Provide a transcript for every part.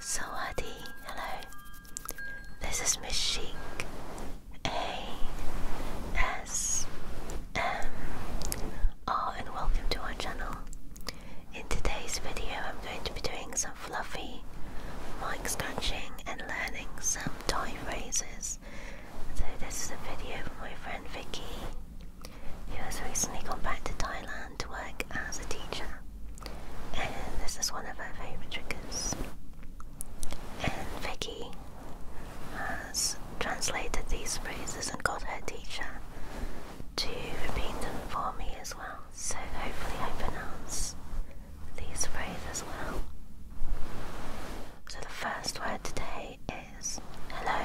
Sawadi, hello. This is Miss Sheik A-S-M-R and welcome to our channel. In today's video I'm going to be doing some fluffy mic scratching and learning some Thai phrases. So this is a video from my friend Vicky who has recently gone back to Thailand to work as a teacher and this is one of her favorite triggers. And Vicky has translated these phrases and got her teacher to repeat them for me as well. So hopefully I pronounce these phrases well. So the first word today is hello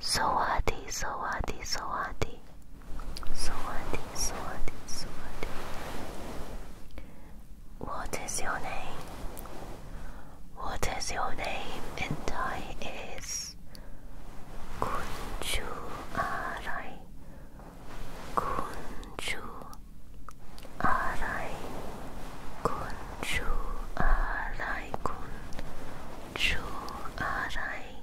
Sawadi, Sawadi, Sawadi, Sawadi, Sawadi, Sawadi. What is your name? What is your name? And I is Kunchu Arai. Kunchu Arai. Kunchu Arai. Kunchu Arai.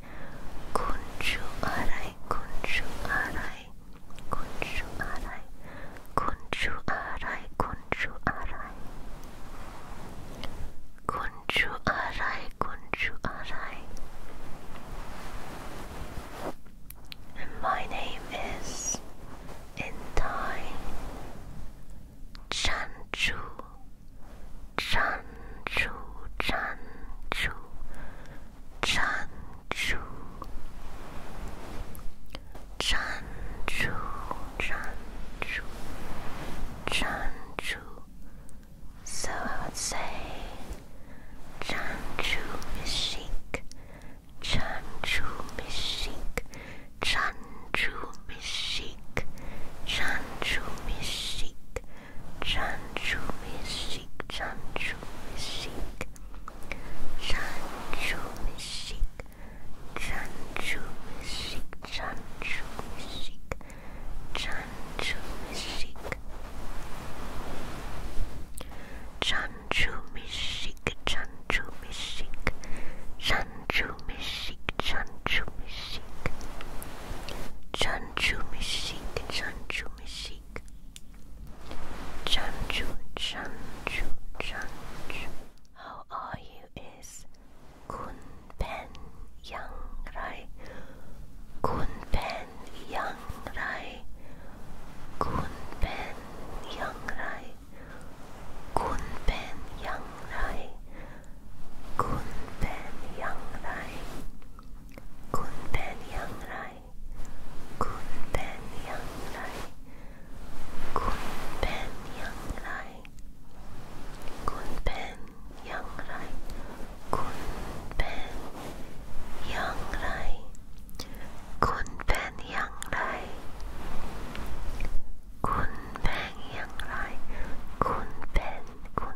Kunshu arai, kunshu arai, kunshu arai, kunshu arai, kunshu arai, kunshu arai, kunshu arai. And my name is in Thai Chanchu 蟾蜍，蟾蜍，蟾蜍，蟾蜍，蟾蜍，蟾蜍。So I would say, Chanchu Mishik, Chanchu Mishik, Chanchu Mishik, Chanchu Mishik. Chanchu Mishik, Chanchu Mishik, Chanchu Mishik, Chanchu Mishik, Chanchu Mishik, Chanchu Mishik, Chanchu Mishik, Chanchu Mishik, Chanchu Mishik, Chanchu Mishik, Chanchu Mishik, Chanchu Mishik. Chanchu, Chanchu, Chanchu. How are you is Kun Pen Yang Rai. Kun Pen Yang Rai. Kun Pen Yang Rai. Kun Pen Yang Rai. คุณเป็นอย่างไรคุณเป็นอย่างไร คุณเป็นอย่างไร คุณเป็นอย่างไร คุณเป็นอย่างไร คุณเป็นอย่างไร คุณเป็นอย่างไร คุณเป็นอย่างไร คุณเป็นคุณ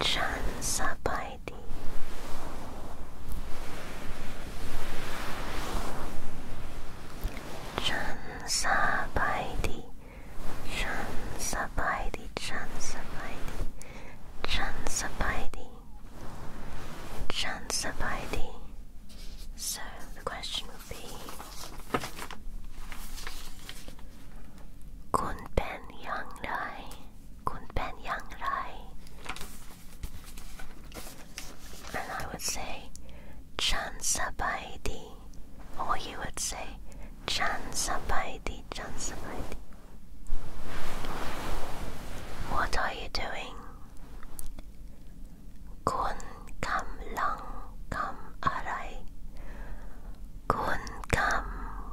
Chansabaidi. Chansabaidi. Chansabaidi. Chansabaidi. Chansabaidi. Chansabaidi. So the question would be Kunpen Yang Dai. คุณเป็นอย่างไร and I would say ฉันสบายดี or you would say ฉันสบายดีฉันสบายดี what are you doing คุณกำลังทำอะไรคุณกำ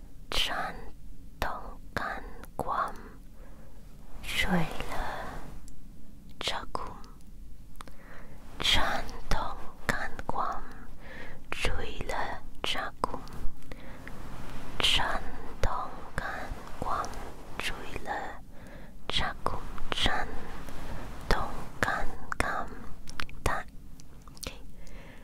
山东干光水了茶宫，山东干光水了茶宫，山东干光水了茶宫，山东干干大。Okay.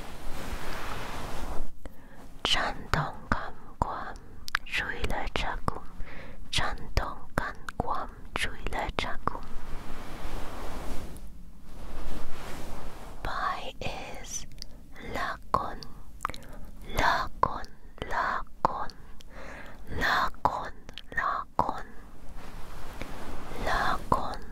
chui 찬동감 괌 주일에 자궁 찬동감 괌 la 자궁 Pi is la con, la con, la con.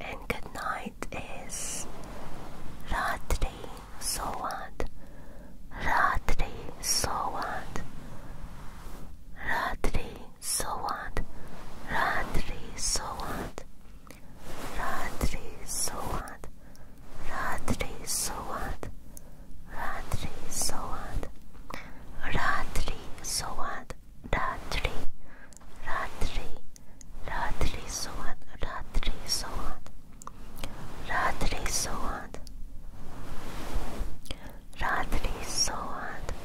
And good night is Ratri Sowat. Ratri Sowat. Ratri Sowat. Ratri Sowat. Ratri Sowat. Ratri Sowat. Ratri Sowat. Ratri Soad Ratri Ratri Ratri Soad Ratri Soad Ratri Soad Ratri Soad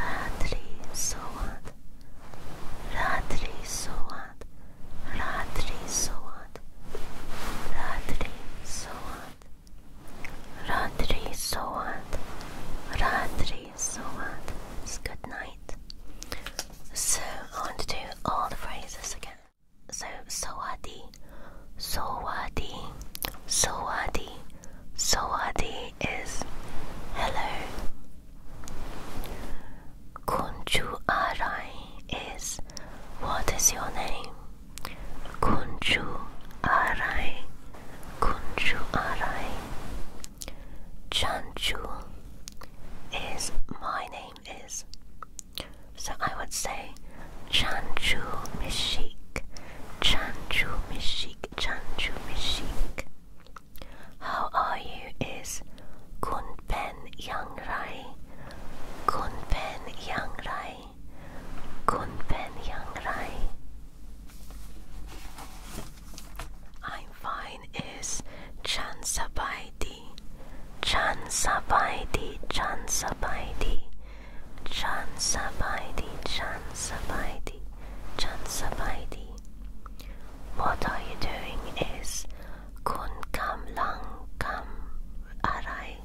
Ratri Soad Ratri Soad Ratri Soad Ratri Soad Radri Soad, Radri Soad. It's good night. So I to do all the phrases again. So Soadi, Soadi, Soadi, Soadi is hello. Kunju Arai is what is your name? Kunchu arai, kunchu arai. Chanchu is my name is. So I would say Chanchu Mishik, Chanchu Mishik, Chanchu Mishik. How are you is Kunpen Yangrai, Kunpen Yangrai. Kun Pen Yang Rai. I'm fine is Chan Sabai Di. Chan Sabai Di. Chan Sabai Di. Chan Sabai Di. What are you doing is Kun Kam Lang Kam Arai.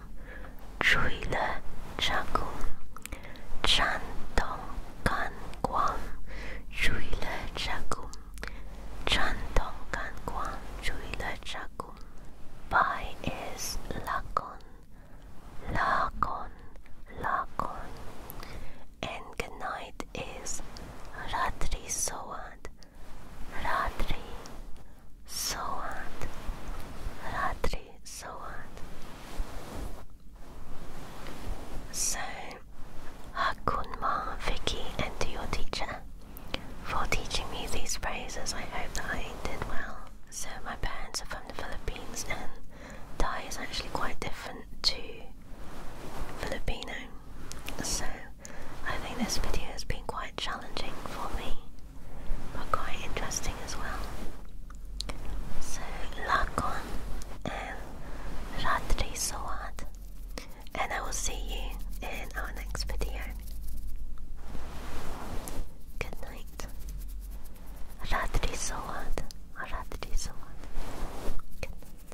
Dom, Chui Le Chagum, Chan Dong Kan Guam, Chui Le Chagum, Chan Dong Kan Guam, Chui Le Chagum. Bai is Lakon, Lakon, Lakon. And good night is Ratri Soad, Ratri Soat Ratri Soat So Hakunma, Vicky and to your teacher for teaching me these phrases. I hope that I did well. So my parents are from the Philippines and Thai is actually quite different to Filipino. So I think this video has been quite challenging for me, but quite interesting as well. So, lakon and ratri and I will see you in our next video. Good night. Ratri sawad, Good night.